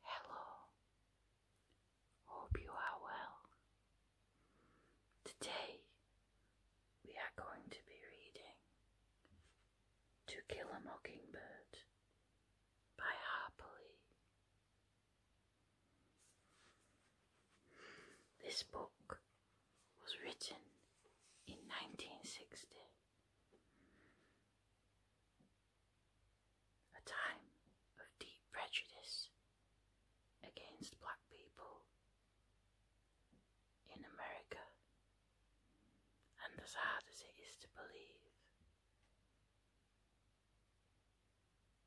Hello, hope you are well. Today we are going to be reading To Kill a Mockingbird by Harper Lee. This book was written in 1960 a time of deep prejudice against black people in America, and as hard as it is to believe,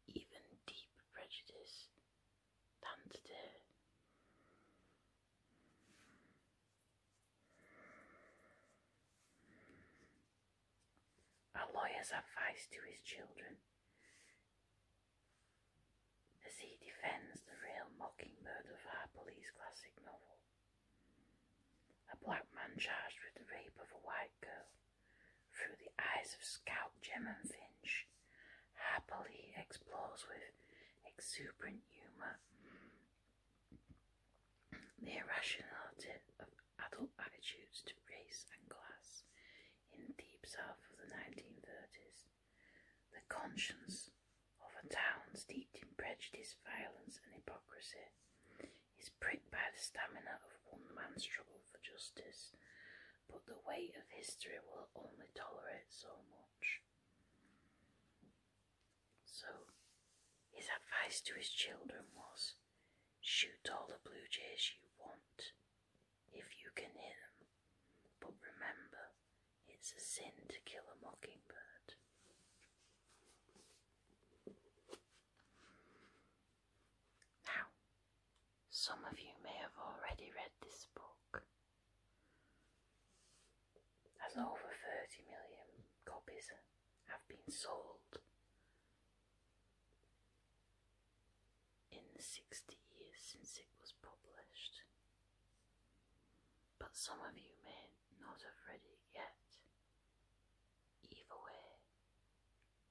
even deep prejudice than today. A lawyer's advice to his children as he defends the real mockingbird of our police classic novel. A black man charged with the rape of a white girl through the eyes of Scout Gem and Finch happily explores with exuberant humour the irrationality of adult attitudes to race and class in the deep south of the 1930s, the conscience of a town steeped in prejudice, violence, and hypocrisy, is pricked by the stamina of one man's struggle for justice, but the weight of history will only tolerate so much. So his advice to his children was shoot all the blue jays you want if you can hit them, but remember it's a sin to kill a mockingbird. Now, some of you may have already read this book as over 30 million copies have been sold in the 60 years since it was published. But some of you may not have read it yet. Either way,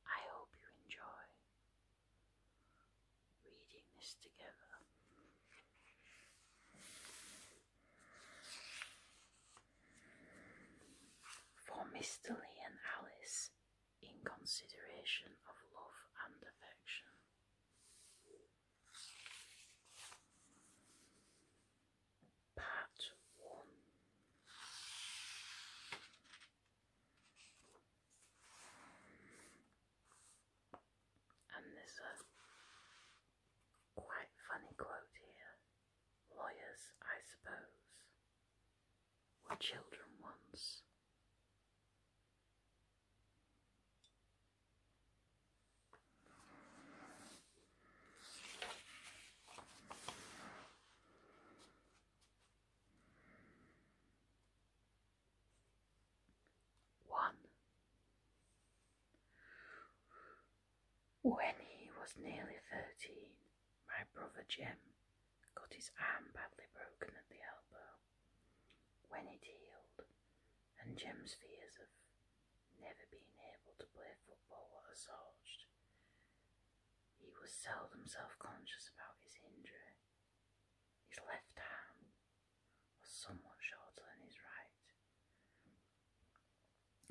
I hope you enjoy reading this together. For Mr. Lee and Alice, in consideration of love and affection. Part 1 And Quite funny quote here. Lawyers, I suppose, were children once. One. When he was nearly thirteen, my brother Jim got his arm badly broken at the elbow. When it healed, and Jim's fears of never being able to play football were assuaged, he was seldom self conscious about his injury. His left hand was somewhat shorter than his right.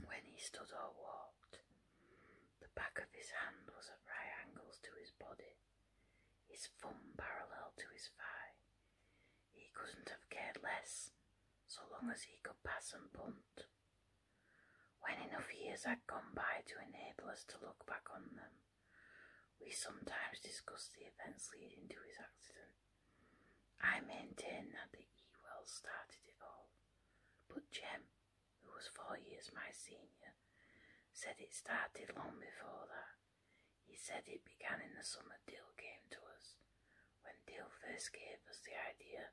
When he stood or walked, the back of his hand was at right angles to his body, his thumb parallel to his thigh. He couldn't have cared less so long as he could pass and punt. When enough years had gone by to enable us to look back on them, we sometimes discuss the events leading to his accident. I maintain that the Ewells started it all, but Jim, who was four years my senior, said it started long before that. He said it began in the summer Deal came to us, when Deal first gave us the idea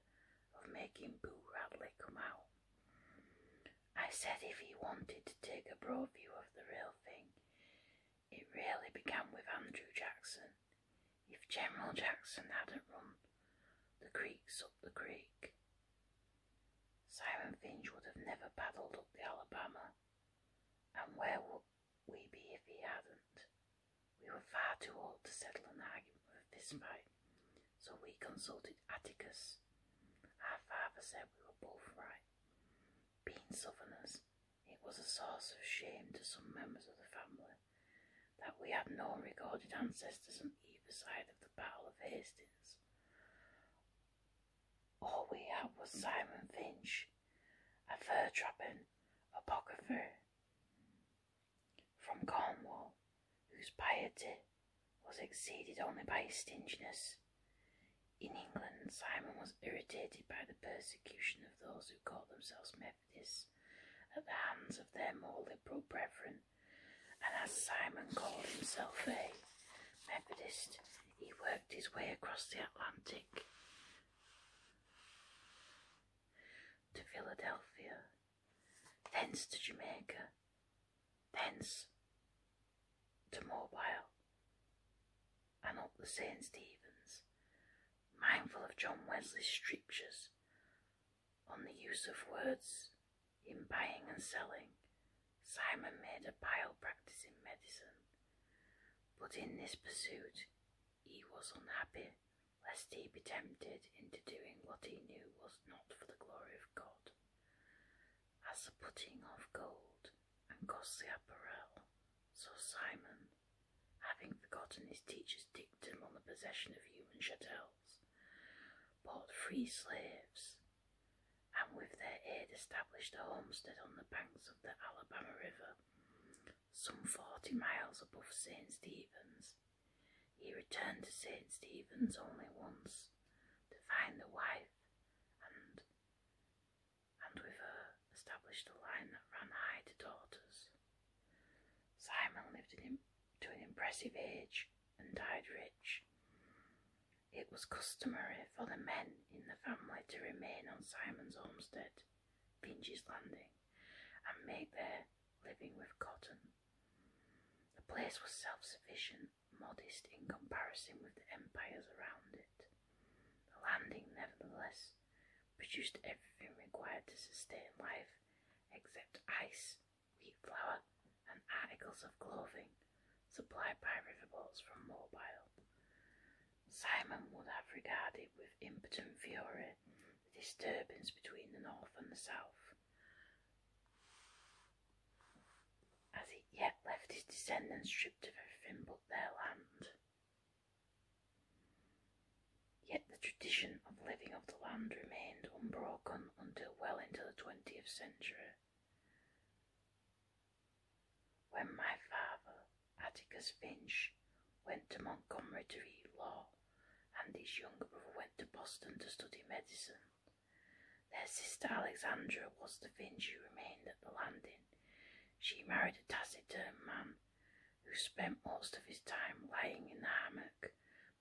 of making Boo Radley come out. I said if he wanted to take a broad view of the real thing, it really began with Andrew Jackson, if General Jackson hadn't run the creeks up the creek, Simon Finch would have never paddled up the Alabama. And where would we be if he hadn't? We were far too old to settle an argument with this fight, so we consulted Atticus. Our father said we were both right. Being southerners, it was a source of shame to some members of the family that we had no recorded ancestors on either side of the Battle of Hastings. All we had was Simon Finch, a fur trapping apocrypher from Cornwall, whose piety was exceeded only by his stinginess. In England, Simon was irritated by the persecution of those who called themselves Mayfair this at the hands of their more liberal brethren, and as Simon called himself a Methodist, he worked his way across the Atlantic to Philadelphia, thence to Jamaica, thence to Mobile, and up the St. Stephen's, mindful of John Wesley's strictures on the use of words in buying and selling, Simon made a pale practice in medicine. But in this pursuit, he was unhappy, lest he be tempted into doing what he knew was not for the glory of God, as the putting of gold and costly apparel. So Simon having forgotten his teacher's dictum on the possession of human chattels, bought free slaves, and with their aid established a homestead on the banks of the Alabama River, some forty miles above St. Stephen's. He returned to St. Stephen's only once to find the wife and and with her established a line that ran high to daughters. Simon lived in, to an impressive age and died rich. It was customary for the men in the family to remain on Simon's homestead, Finch's Landing, and make their living with cotton. The place was self sufficient, modest in comparison with the empires around it. The landing, nevertheless, produced everything required to sustain life except ice, wheat flour, and articles of clothing supplied by riverboats from Mobile. Simon would have regarded with impotent fury the disturbance between the north and the south. As it yet left his descendants stripped of everything but their land. Yet the tradition of living off the land remained unbroken until well into the 20th century. When my father, Atticus Finch, went to Montgomery to read law, and his younger brother went to Boston to study medicine, their sister Alexandra was the Finch who remained at the landing. She married a taciturn man who spent most of his time lying in the hammock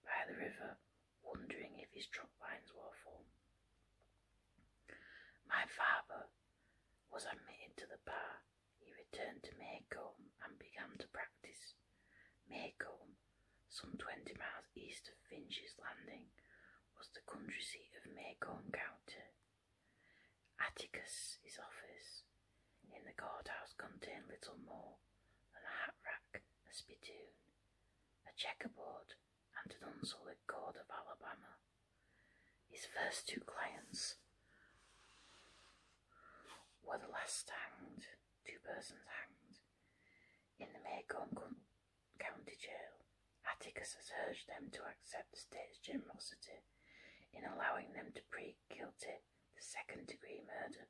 by the river, wondering if his drop lines were full. My father was admitted to the bar. He returned to Maycomb and began to practice. Maycomb, some twenty miles east of Finch's Landing, was the county seat of Maycomb County. Atticus, office, in the courthouse contained little more than a hat rack, a spittoon, a checkerboard, and an unsullied cord of Alabama. His first two clients were the last hanged, two persons hanged, in the Macomb County Jail. Atticus has urged them to accept the state's generosity in allowing them to plead guilty the second degree murder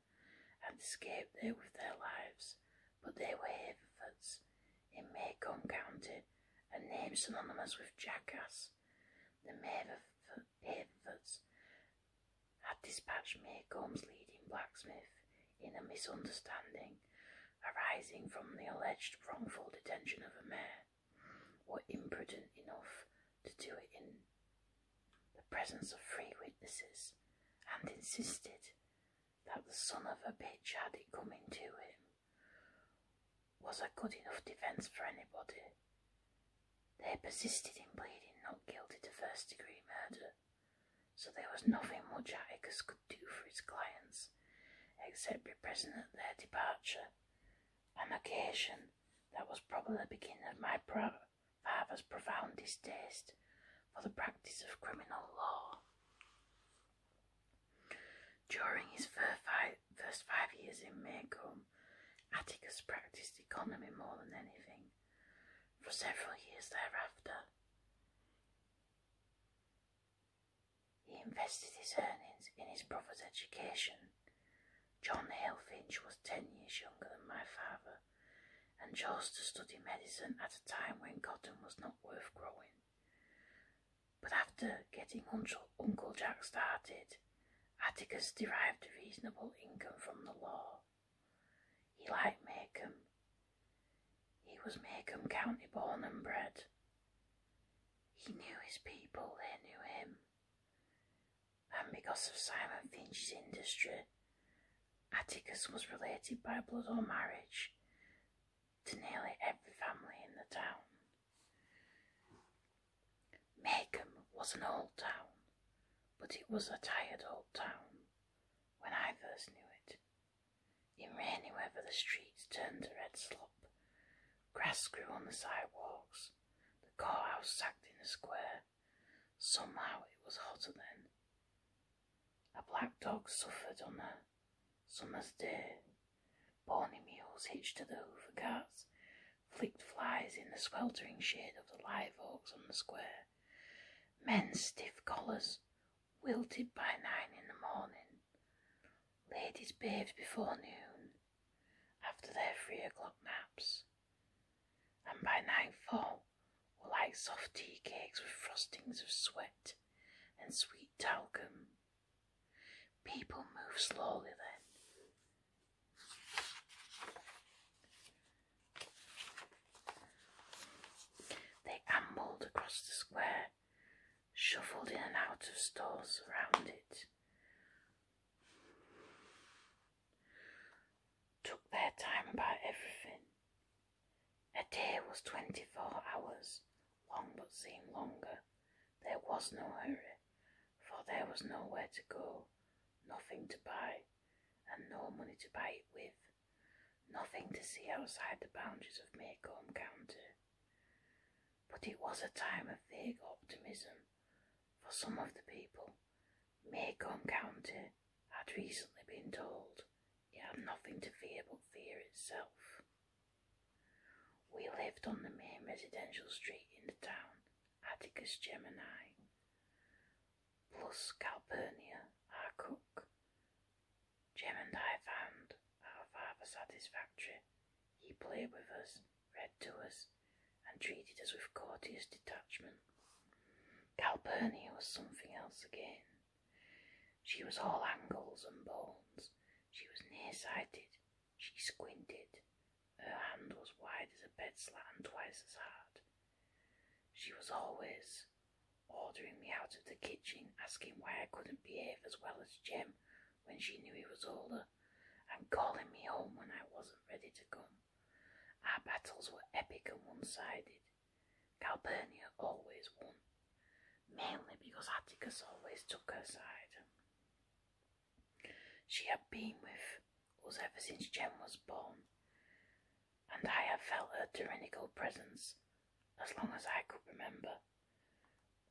and escaped there with their lives, but they were Haverfords in Macon County a name synonymous with jackass. The Haverfords had dispatched Macon's leading blacksmith in a misunderstanding arising from the alleged wrongful detention of a mare were imprudent enough to do it in the presence of three witnesses and insisted that the son of a bitch had it coming to him was a good enough defence for anybody. They persisted in pleading not guilty to first degree murder, so there was nothing much Atticus could do for his clients except be present at their departure, an occasion that was probably the beginning of my father's profound distaste for the practice of criminal law. During his first five years in Maycomb, Atticus practiced economy more than anything for several years thereafter. He invested his earnings in his brother's education John Hale Finch was ten years younger than my father and chose to study medicine at a time when cotton was not worth growing. But after getting Uncle Jack started, Atticus derived a reasonable income from the law. He liked Macomb. He was Macomb County born and bred. He knew his people, they knew him and because of Simon Finch's industry, Atticus was related by blood or marriage to nearly every family in the town. Magham was an old town, but it was a tired old town when I first knew it. In rainy weather, the streets turned to red slop, grass grew on the sidewalks, the courthouse sacked in the square. Somehow it was hotter then. A black dog suffered on a summer's day. Bony mules hitched to the hoover carts flicked flies in the sweltering shade of the live oaks on the square. Men's stiff collars wilted by nine in the morning. Ladies bathed before noon after their three o'clock naps, and by nightfall were like soft tea cakes with frostings of sweat and sweet talcum. People move slowly then. They ambled across the square, shuffled in and out of stores around it, Took their time about everything. A day was twenty four hours, long but seemed longer. There was no hurry, for there was nowhere to go, nothing to buy, and no money to buy it with, nothing to see outside the boundaries of Maycomb County. But it was a time of vague optimism for some of the people, Macon County had recently been told it had nothing to fear but fear itself. We lived on the main residential street in the town, Atticus Gemini, plus Calpurnia, our cook. Jem and I found our father satisfactory he played with us, read to us, and treated us with courteous detachment. Calpurnia was something else again. She was all angles and bones. She was nearsighted. She squinted. Her hand was wide as a bed slat and twice as hard. She was always ordering me out of the kitchen, asking why I couldn't behave as well as Jim when she knew he was older, and calling me home when I wasn't ready to come. Our battles were epic and one sided. Calpurnia always won, mainly because Atticus always took her side. She had been with us ever since Jem was born, and I had felt her tyrannical presence as long as I could remember.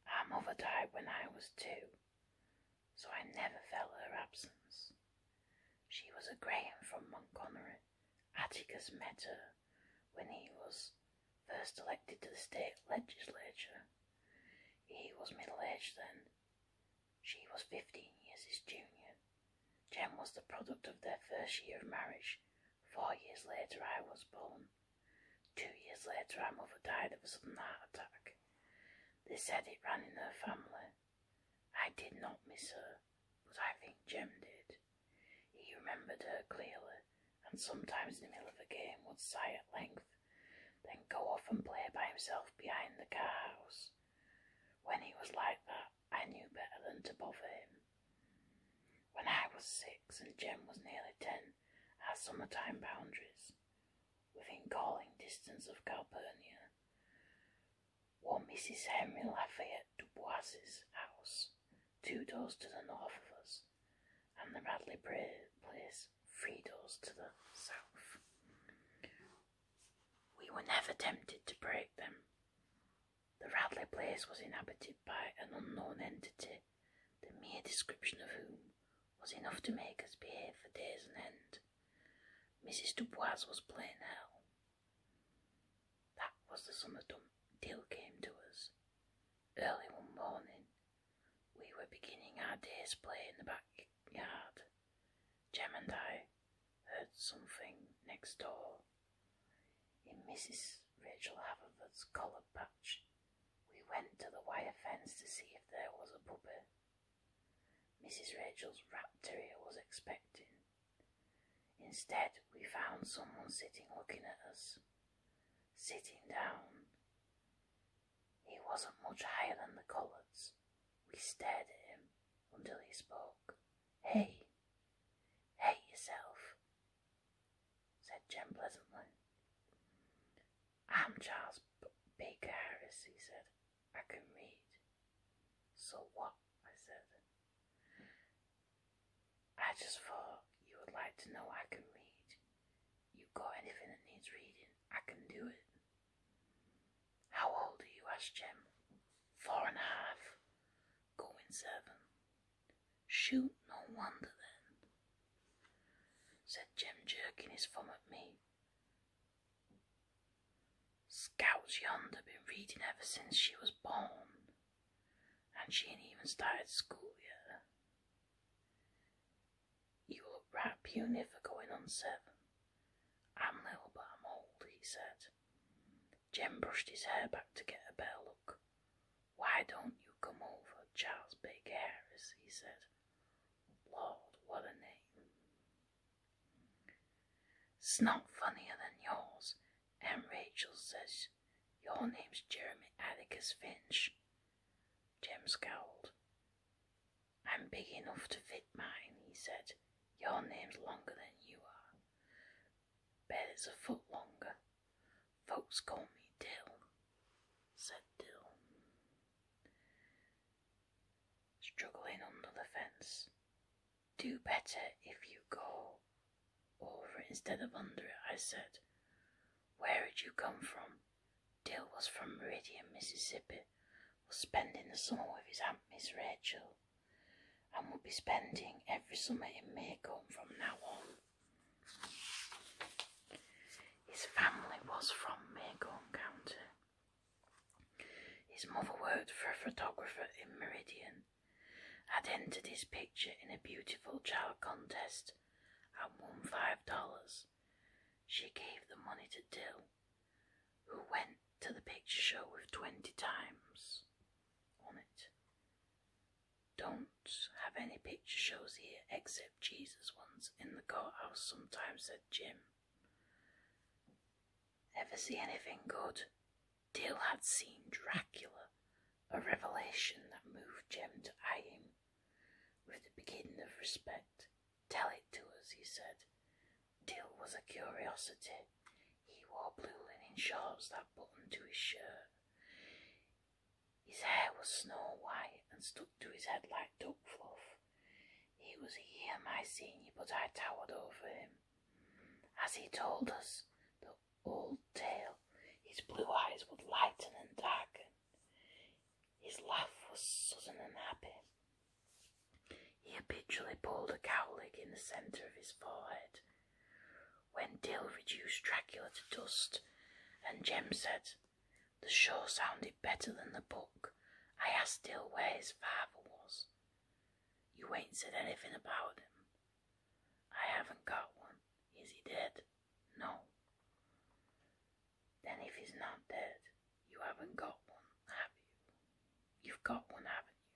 Our mother died when I was two, so I never felt her absence. She was a Graham from Montgomery. Atticus met her when he was first elected to the state legislature. He was middle aged then. She was 15 years his junior. Jem was the product of their first year of marriage. Four years later, I was born. Two years later, my mother died of a heart attack. They said it ran in the family. I did not miss her, but I think Jem did. He remembered her clearly, and sometimes in the middle of a game would sigh at length, then go off and play by himself behind the car house. When he was like that, I knew better than to bother him. When I was six and Jem was nearly ten, our summertime boundaries within calling distance of Calpurnia, one Mrs. Henry Lafayette Dubois's house, two doors to the north of us, and the Radley Place, three doors to the south. We were never tempted to break them. The Radley Place was inhabited by an unknown entity, the mere description of whom was enough to make us behave for days and end. Mrs. Dubois was playing hell. That was the summer deal came to us. Early one morning, we were beginning our day's play in the backyard. Jem and I heard something next door. In Mrs. Rachel Haverford's collar patch, we went to the wire fence to see if there was a puppy. Mrs. Rachel's rat was expected. Instead, we found someone sitting looking at us. Sitting down. He wasn't much higher than the collards. We stared at him until he spoke. Hey, hey yourself, said Jem pleasantly. I'm Charles Baker Harris, he said. I can read. So what? I said. I just thought you would like to know I can read. You got anything that needs reading, I can do it. How old are you? asked Jem. Four and a half. Going seven. Shoot, no wonder then, said Jem, jerking his thumb at me. Scouts yonder been reading ever since she was born, and she ain't even started school yet. You look right puny for going on seven. I'm little, but I'm old, he said. Jim brushed his hair back to get a better look. Why don't you come over, Charles Big Harris? he said. Lord, what a name. It's not funnier than yours. And Rachel says, Your name's Jeremy Atticus Finch. Jem scowled. I'm big enough to fit mine, he said. Your name's longer than you are. Bet it's a foot longer. Folks call me Dill, said Dill struggling under the fence. Do better if you go over it instead of under it, I said. Where had you come from? Dill was from Meridian, Mississippi, was spending the summer with his aunt Miss Rachel, and would be spending every summer in Maycomb from now on. His family was from Macon County. His mother worked for a photographer in Meridian, had entered his picture in a beautiful child contest and won five dollars. She gave the money to Dill, who went to the picture show with twenty times on it. Don't have any picture shows here except Jesus once in the courthouse sometimes, said Jim. Ever see anything good? Dill had seen Dracula, a revelation that moved Jim to eye with the beginning of respect. Tell it to us, he said. Dill was a curiosity. He wore blue linen shorts that buttoned to his shirt. His hair was snow white and stuck to his head like duck fluff. He was here, my senior, but I towered over him. As he told us the old tale, his blue eyes would lighten and darken. His laugh was sudden and happy. He habitually pulled a cowlick in the centre of his forehead. When Dill reduced Dracula to dust, and Jem said, the show sounded better than the book. I asked Dill where his father was. You ain't said anything about him. I haven't got one. Is he dead? No. Then if he's not dead, you haven't got one, have you? You've got one, haven't you?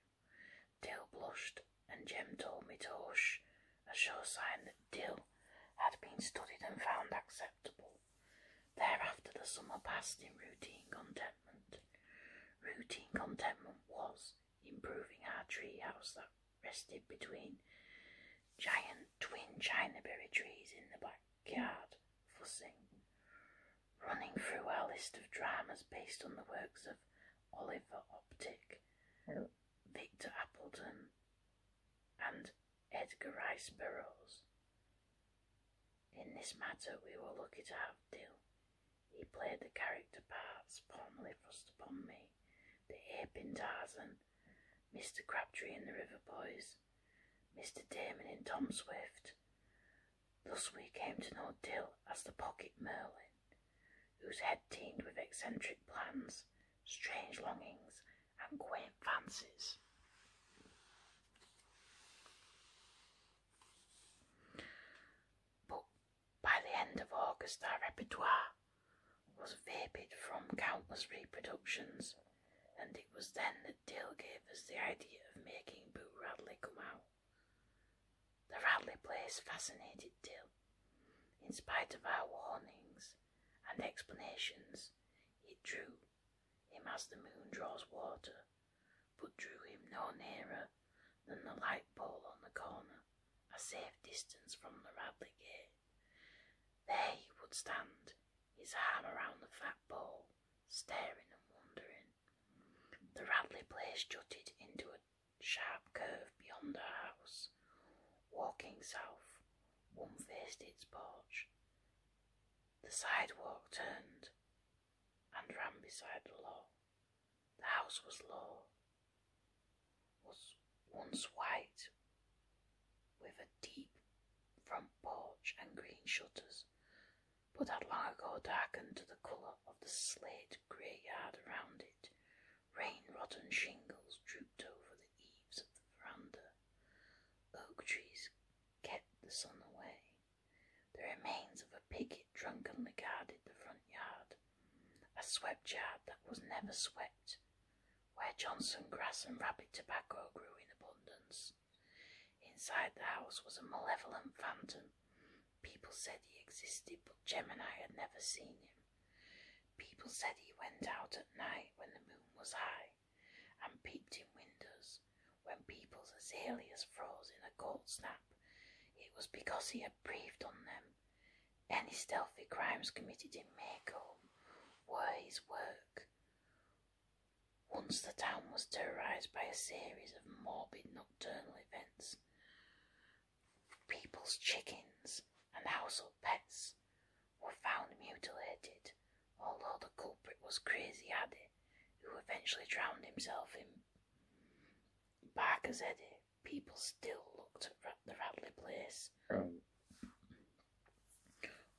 Dill blushed, and Jim told me to hush, a sure sign that Dill had been studied and found acceptable. Thereafter, the summer passed in routine contentment. Routine contentment was improving our treehouse that rested between giant twin china berry trees in the backyard, fussing, running through our list of dramas based on the works of Oliver Optic, oh. Victor Appleton, and Edgar Rice Burroughs. In this matter, we were lucky to have Dill. He played the character parts formerly thrust upon me, the ape in Tarzan, Mr. Crabtree in The River Boys, Mr. Damon in Tom Swift. Thus we came to know Dill as the Pocket Merlin, whose head teemed with eccentric plans, strange longings, and Gwen fancies. But by the end of August, our repertoire was vapid from countless reproductions, and it was then that Dale gave us the idea of making Boo Radley come out. The Radley place fascinated Dale. In spite of our warnings and explanations, it drew him as the moon draws water, but drew him no nearer than the light pole on the corner, a safe distance from the Radley gate. There he would stand, his arm around the fat pole, staring and wondering. The Radley place jutted into a sharp curve beyond the house. Walking south, one faced its porch, the sidewalk turned and ran beside the law. The house was low, was once white, with a deep front porch and green shutters, but had long ago darkened to the colour of the slate grey yard around it. Rain-rotten shingles drooped over the eaves of the veranda, Oak trees kept the sun away. The remains of a picket drunkenly guarded the front yard, a swept yard that was never swept, where Johnson grass and rabbit tobacco grew in abundance. Inside the house was a malevolent phantom. People said he existed, but Gemini had never seen him. People said he went out at night when the moon was high and peeped in windows when people's azaleas froze in a cold snap, it was because he had breathed on them. Any stealthy crimes committed in Maycomb were his work. Once the town was terrorised by a series of morbid nocturnal events. People's chickens and household pets were found mutilated, although the culprit was Crazy Addy, who eventually drowned himself in Back as Eddy. People still looked at the Radley place, um,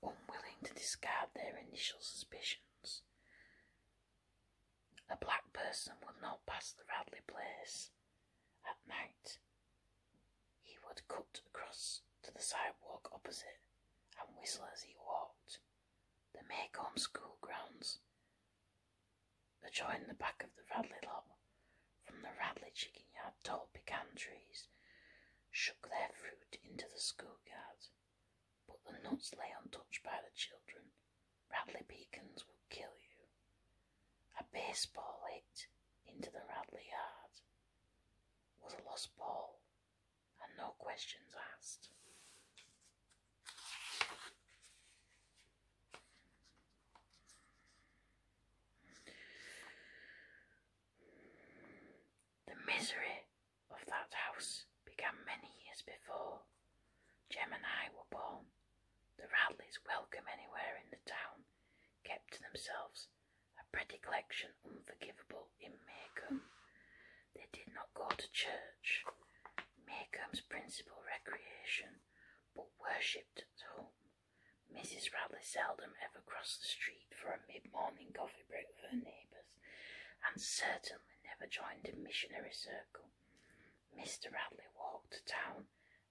unwilling to discard their initial suspicions. A black person would not pass the Radley place at night, he would cut across to the sidewalk opposite and whistle as he walked. The Maycomb school grounds adjoined the back of the Radley lot. From the Radley chicken yard, tall pecan trees shook their fruit into the schoolyard, but the nuts lay untouched by the children. Radley beacons will kill you. A baseball hit into the Radley yard was a lost ball, and no questions asked. The misery of that house began many years before. Jem and I were born. The Radleys, welcome anywhere in the town, kept to themselves a pretty collection unforgivable in Maycomb. They did not go to church, Maycomb's principal recreation, but worshipped at home. Mrs. Radley seldom ever crossed the street for a mid morning coffee break with her neighbours, and certainly never joined a missionary circle. Mr. Radley walked to town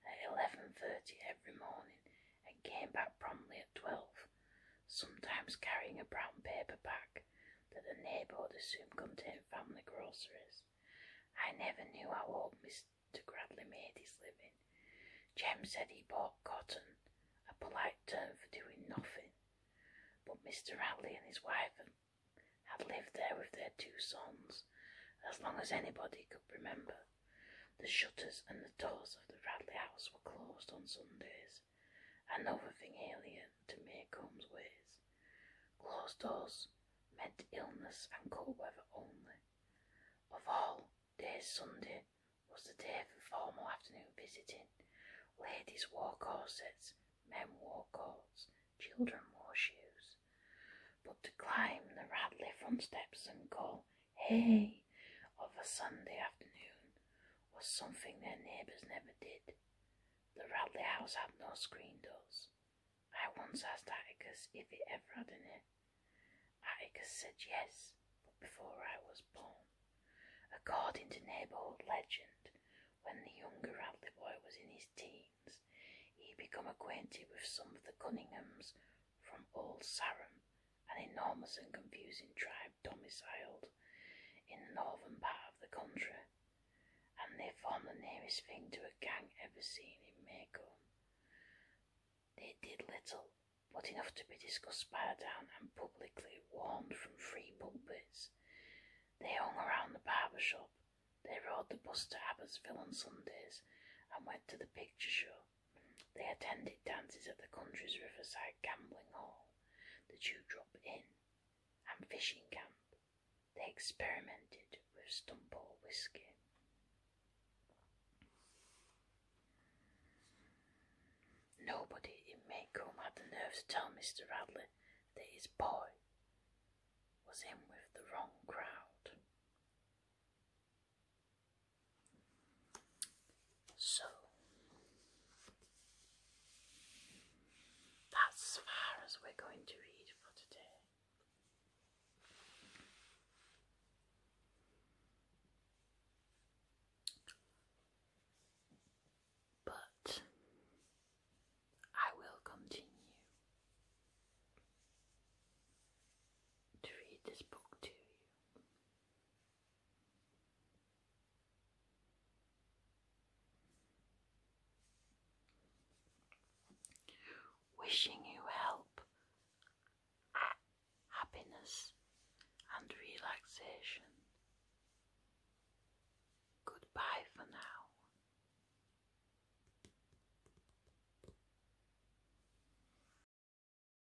at eleven thirty every morning and came back promptly at twelve, sometimes carrying a brown paper bag that the would assume contained family groceries. I never knew how old Mr. Gradley made his living. Jem said he bought cotton, a polite term for doing nothing. But Mr. Gradley and his wife had lived there with their two sons as long as anybody could remember. The shutters and the doors of the Radley house were closed on Sundays, another thing alien to Maycomb's ways. Closed doors meant illness and cold weather only. Of all days, Sunday was the day for formal afternoon visiting. Ladies wore corsets, men wore coats, children wore shoes. But to climb the Radley front steps and call hey of a Sunday afternoon was something their neighbours never did. The Radley house had no screen doors. I once asked Atticus if he ever had any. Atticus said yes, but before I was born. According to neighbourhood legend, when the younger Radley boy was in his teens, he became acquainted with some of the Cunninghams from Old Sarum an enormous and confusing tribe domiciled in the northern part of the country, and they formed the nearest thing to a gang ever seen in Mako. They did little, but enough to be discussed by town and publicly warned from free pulpits. They hung around the barber shop, they rode the bus to Abbotsville on Sundays, and went to the picture show. They attended dances at the country's riverside gambling hall, the Dewdrop Inn, and fishing camp. They experimented with stumble whiskey. Nobody in Maycomb had the nerve to tell Mr. Radley that his boy was in with the wrong crowd. So that's as far as we're going to read for today. But I will continue to read this book to you. Wishing you help, happiness, and relaxation. Goodbye for now.